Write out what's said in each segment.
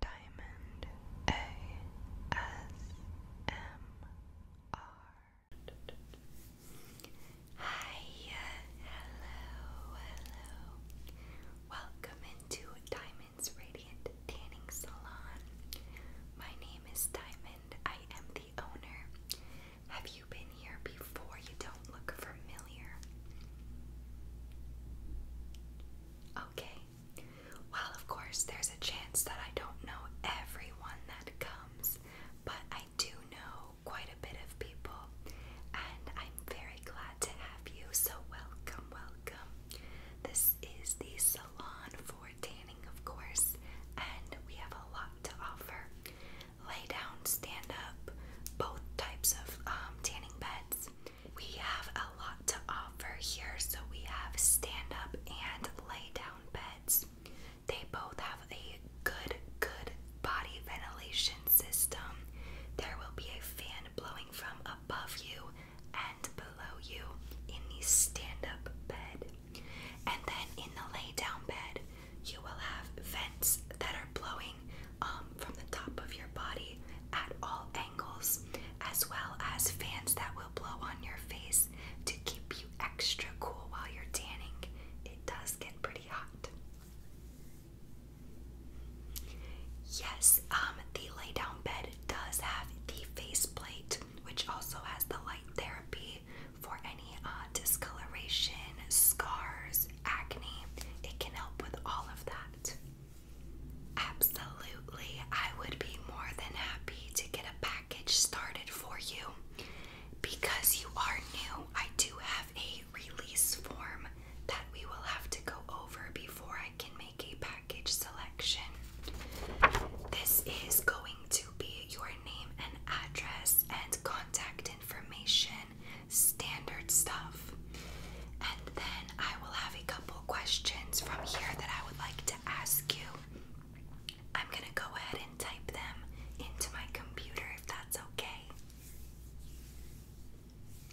Diamond ASMR. Hi, hello, hello. Welcome into Diamond's Radiant Tanning Salon. My name is Diamond. I am the owner. Have you been here before? You don't look familiar. Okay, well, of course, there's a chance that I don't know everyone that comes, but I do know quite a bit of people, and I'm very glad to have you. So, welcome, welcome. This is the salon for tanning, of course, and we have a lot to offer lay down, stand up, both types of um, tanning beds. We have a lot to offer here, so we have stand up and lay down beds. They both have a good, good body ventilation system. There will be a fan blowing from above you and below you in the stand up bed. And then in the lay down bed, you will have vents that are blowing um, from the top of your body at all angles, as well as fans that will blow on your face to keep you extra cool while you're tanning. It does get pretty hot. Yes, um, the lay down bed does have the face plate, which also has the light therapy for any uh, discoloration, scars, acne. It can help with all of that. Absolutely, I would be more than happy to get a package started for you. Because you are new, I do have a release form that we will have to go over before I can make a package selection. This is going to be your name and address and contact information, standard stuff. And then I will have a couple questions from here that I would like to ask you. I'm going to go ahead and type them into my computer if that's okay.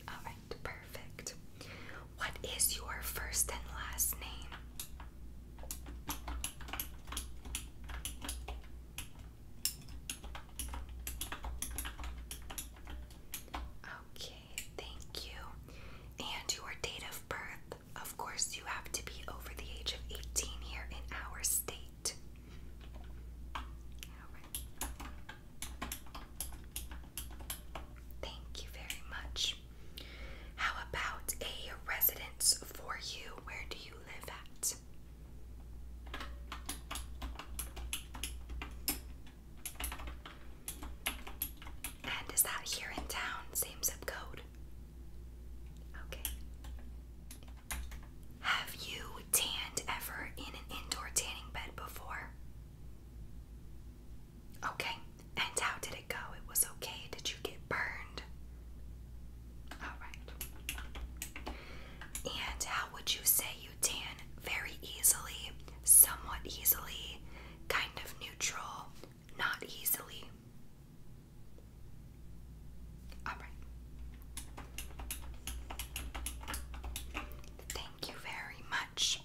Alright, perfect. What is your first and last name? Okay, thank you. And your date of birth? Of course, you have to be over the age of 18 here in our state. Thank you very much. How about a residence for you? Where do you live at? And is that here in town? Same zip code? Okay. Have you tanned ever in an indoor tanning bed before? Okay. And how did it go? It was okay. Did you get burned? Alright. And how would you say you tan very easily, somewhat easily, kind of neutral, not easily. All right. Thank you very much.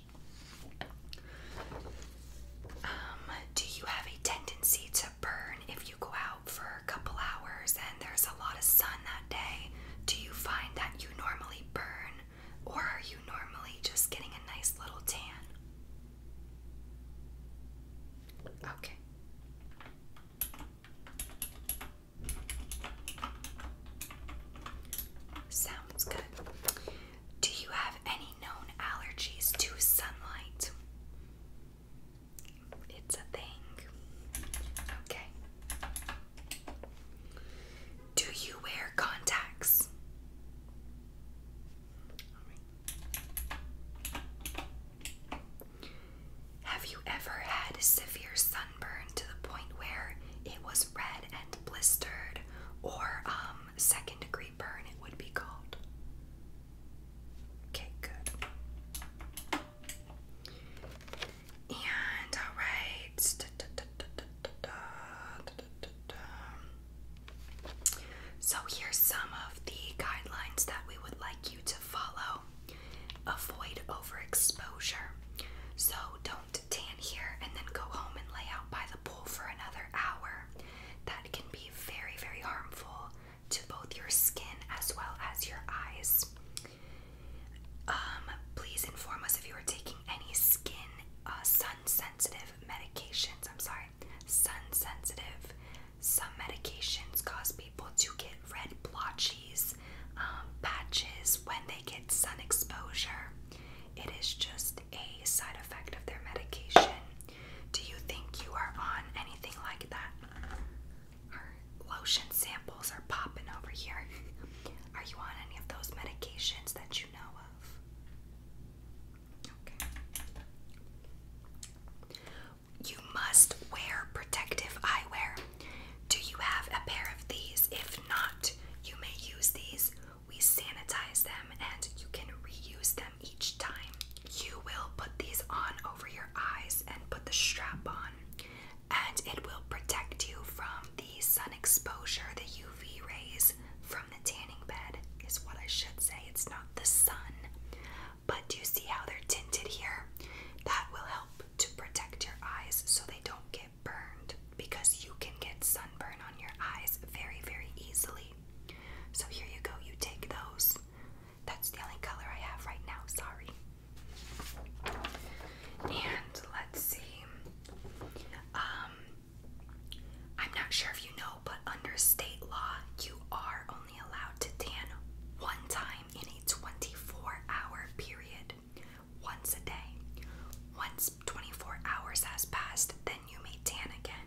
Um, do you have a tendency to burn if you go out for a couple hours and there's a lot of sun that day? Do you find that you normally burn or are you normally just getting a nice little tan? Okay. Sounds good. Do you have any known allergies to sunlight? It's a thing. Okay. Do you wear contacts? Have you ever had severe sunburn to the point where it was red and blistered, or um, second degree burn, it would be called? Okay, good. And all right, so, here's some of the guidelines that we would like you to follow avoid overexposure. So, don't tan here and then go home and lay out by the pool for another hour. That can be very, very harmful to both your skin as well as your eyes. Um, please inform us if you are taking any skin uh, sun sensitive medications, I'm sorry, sun sensitive. Some medications cause people to get red blotches, um, patches when they get sun exposure. It is just a side effect of their medication. Do you think you are on anything like that? Our lotion samples are popping over here. Are you on any of those medications that you you must wear protective eyewear. Do you have a pair of these? If not, you may use these. We sanitize them and you can reuse them each time. You will put these on over your eyes and put the strap on, and it will protect you from the sun exposure, the UV rays from the tanning bed is what I should say. It's not the sun. But do you see how they're tinted here? That will help to protect your eyes so they don't get burned because you can get sunburn on your eyes very, very easily. So here you go, you take those. That's the only color I have right now, sorry. And let's see. Um, I'm not sure if you know, but under state law, you are only allowed to tan one time in a 24 hour period, once a day. Once 24 hours has passed, then you may tan again.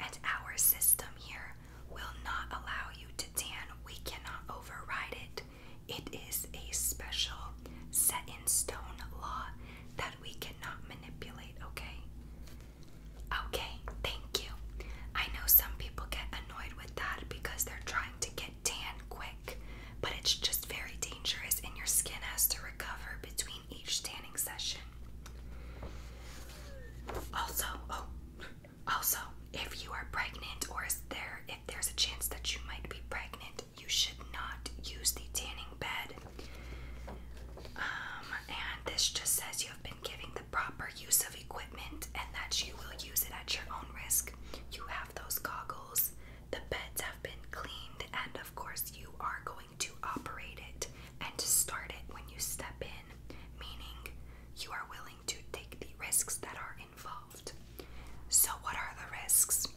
And our system here will not allow you to tan, we cannot override it. It is a special set in stone law that we cannot manipulate, okay? Okay, thank you. I know some people get annoyed with that because they're trying to get tan quick, but it's just very dangerous and your skin has to recover between each tanning session. Also, oh, also, if you are pregnant or is there if there's a chance that you might be pregnant, you should not use the tanning bed. Um, and this just says you have been giving the proper use of equipment and that you will use it at your own risk. You have those goggles, the beds have been cleaned, and of course, you are going to operate it and to start it when you step in, meaning you are willing to take the risks that are involved. So, what are the risks?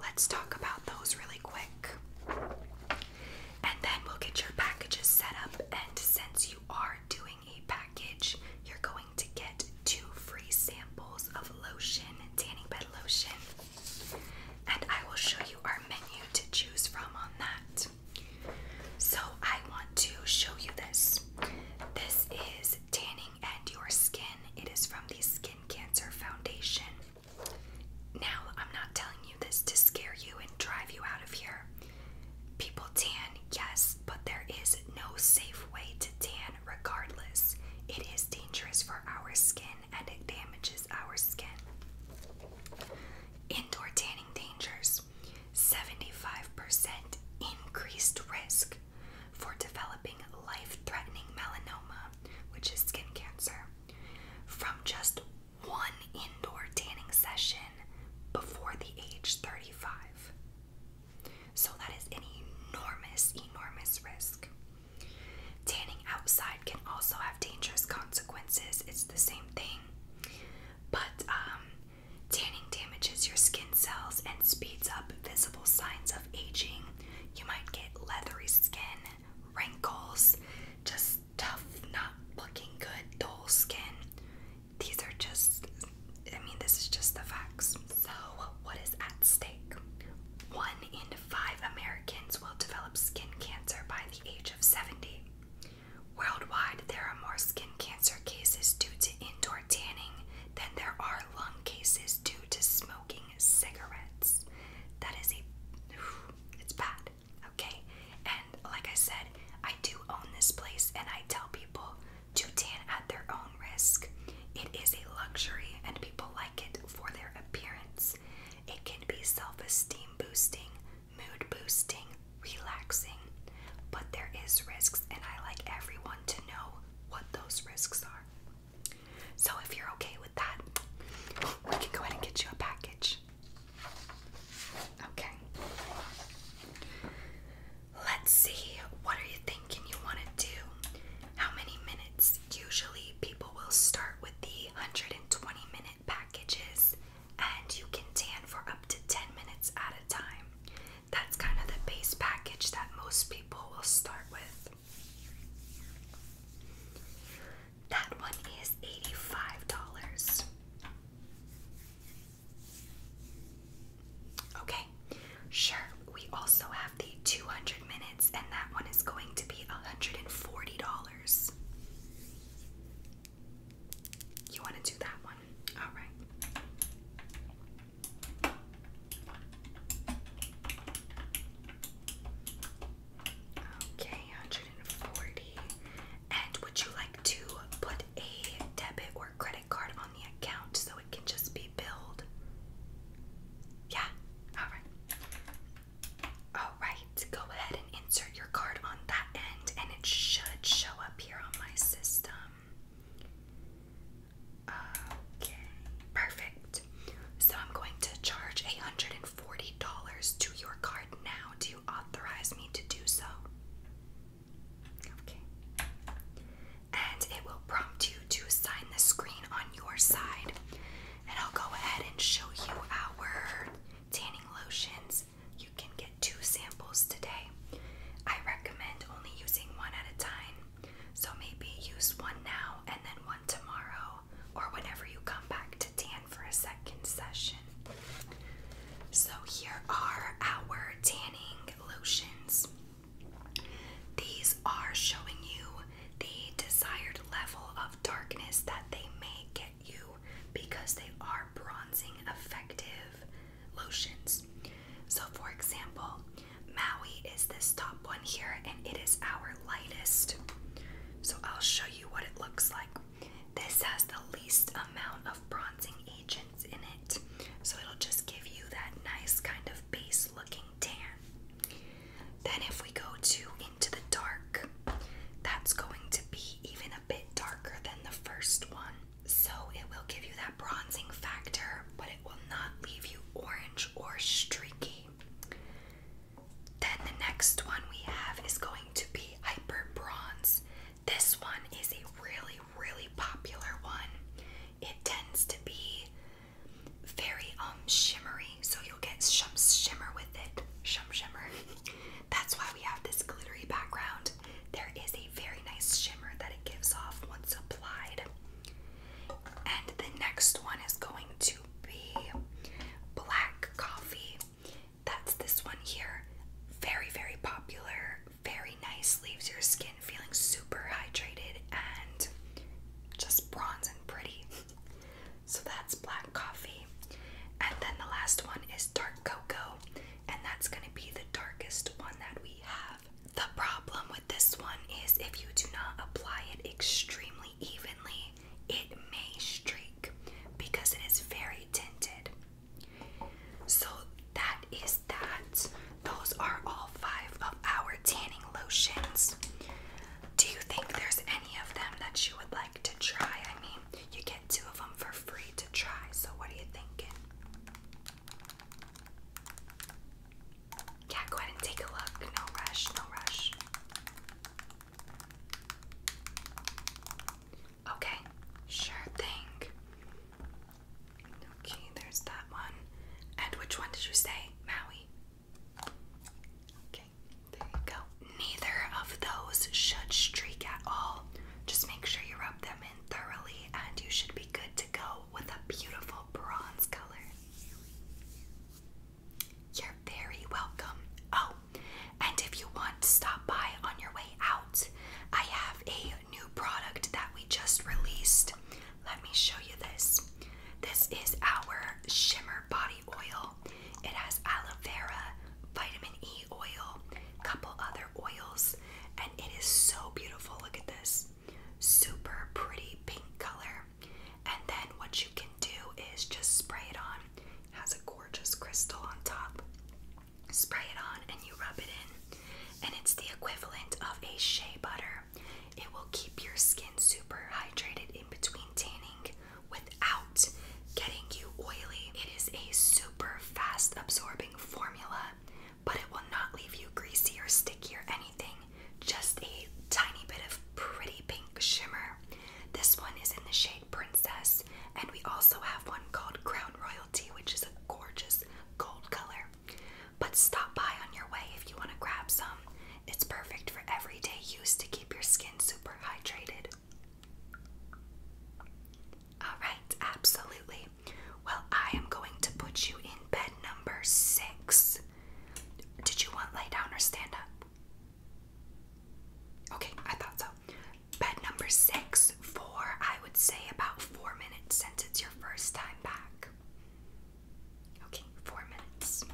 Let's talk about those really quick. And then we'll get your packages set up. And since you are doing a package, you're going to get two free samples of lotion, tanning bed lotion. And I will show you our menu to choose from on that. So I want to show you this. This is Tanning and Your Skin. It is from the Skin Cancer Foundation. Now, I'm not telling you this to scare you and drive you out of here. People tan, yes, but there is no safe way to tan regardless. It is dangerous for our skin and it damages our skin. Indoor tanning dangers 75% increased risk for developing life threatening melanoma, which is skin cancer from just one indoor tanning session before the age 35. So that is an enormous, enormous risk. Tanning outside can also have dangerous consequences. It's the same thing. But um, tanning damages your skin cells and speeds up visible signs of aging. You might get leathery skin, wrinkles, just tough, not looking good, dull skin. These are just, I mean, this is just the facts. So, what is at stake? One in five Americans will develop skin cancer by the age of 70. Worldwide, there are more skin cancer cases due to indoor tanning than there are lung cases due to smoking cigarettes. That is a it's bad, okay? And like I said, I do own this place and I tell people to tan at their own risk. It is a luxury and people like it for their appearance. It can be self esteem boosting, mood boosting, relaxing, but there is risks and I like everyone to know what those risks are. So if you're okay with that, we can go ahead and get you a package. Okay. Let's see. What are you thinking you want to do? How many minutes? Usually people will start with the 120 minute packages and you can tan for up to 10 minutes at a time. That's kind of the base package that most people will start with. That one is $85. Okay, sure. We also have the 200 minutes, and that one is going to be $140. You want to do that one? All right. Okay, 140. And would you like to put a debit or credit card on the account so it can just be billed? Yeah, alright. Alright, go ahead and insert your card on that end and it should show up here on my system. Okay, perfect. So I'm going to charge $140 to your card now. Do you authorize me to do so? Okay. And it will prompt you to sign the screen on your side. And I'll go ahead and show you our tanning lotions. You can get two samples today. I recommend only using one at a time. So maybe use one now and then one tomorrow or whenever you come back to tan for a second session. So, here are our tanning lotions. These are showing you the desired level of darkness that they may get you because they are bronzing effective lotions. So, for example, Maui is this top one here, and it is our lightest. So, I'll show you what it looks like. This has the least amount of bronzing agents in it, so it'll just give you that nice kind of base looking tan. Then, if we go to Into the Dark, that's going to be even a bit darker than the first one, so it will give you that bronzing factor, but it will not leave you orange or streaky. Then the next one we have is going to be Hyper Bronze. This one is a really, really popular one. It tends to be very um shimmery, so you'll get shum shimmer with it. Shum shimmer. That's why we have this glittery background. There is a very nice shimmer that it gives off once applied. And the next one is going to be black coffee. That's this one here. Very, very popular. Very nice. Leaves your skin feeling super hydrated and just bronze and pretty. so that's black coffee. And then the last one is dark cocoa. And that's going to be the darkest one that we have. The problem with this one is if you do not apply it extremely evenly, it may streak because it is very tinted. So that is that. Those are all five of our tanning lotions. Do you think there's any of them that you would like to try? I mean, you get two of them for free to try, so what are you thinking? Yeah, go ahead and take a look. No rush, no rush. Okay, sure thing. Okay, there's that one. And which one did you say? Maui. Okay, go. Neither of those should streak at all. Just make sure you rub them in thoroughly, and you should be good to go with a beautiful bronze color. You're very welcome. Oh, and if you want, stop by on your way out. I have a new product that we just released. Let me show you this. This is our Shimmer Body Oil. It has aloe vera, vitamin E oil, couple other oils, and it is so beautiful. Look at this. Super pretty pink color. And then what you can do is just spray it on. has a gorgeous crystal on top. Spray it on and you rub it in. And it's the equivalent of a shea butter. It will keep your skin super hydrated in between tanning without getting you oily. It is a super fast absorbing formula, but it will not leave you greasy or sticky or anything. Just a tiny bit of pretty pink shimmer this one is in the shade Princess, and we also have one called Crown Royalty, which is a gorgeous gold color. But stop by on your way if you want to grab some. It's perfect for everyday use to keep your skin super hydrated. Alright, absolutely. Well, I am going to put you in bed number six. Did you want lay down or stand up? Okay, I thought so. Bed number six for, I would say, about four minutes since it's your first time back. Okay, four minutes.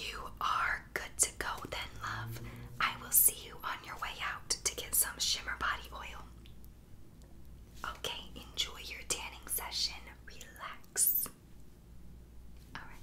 You are good to go then, love. I will see you on your way out to get some shimmer body oil. Okay, enjoy your tanning session. Relax. Alright.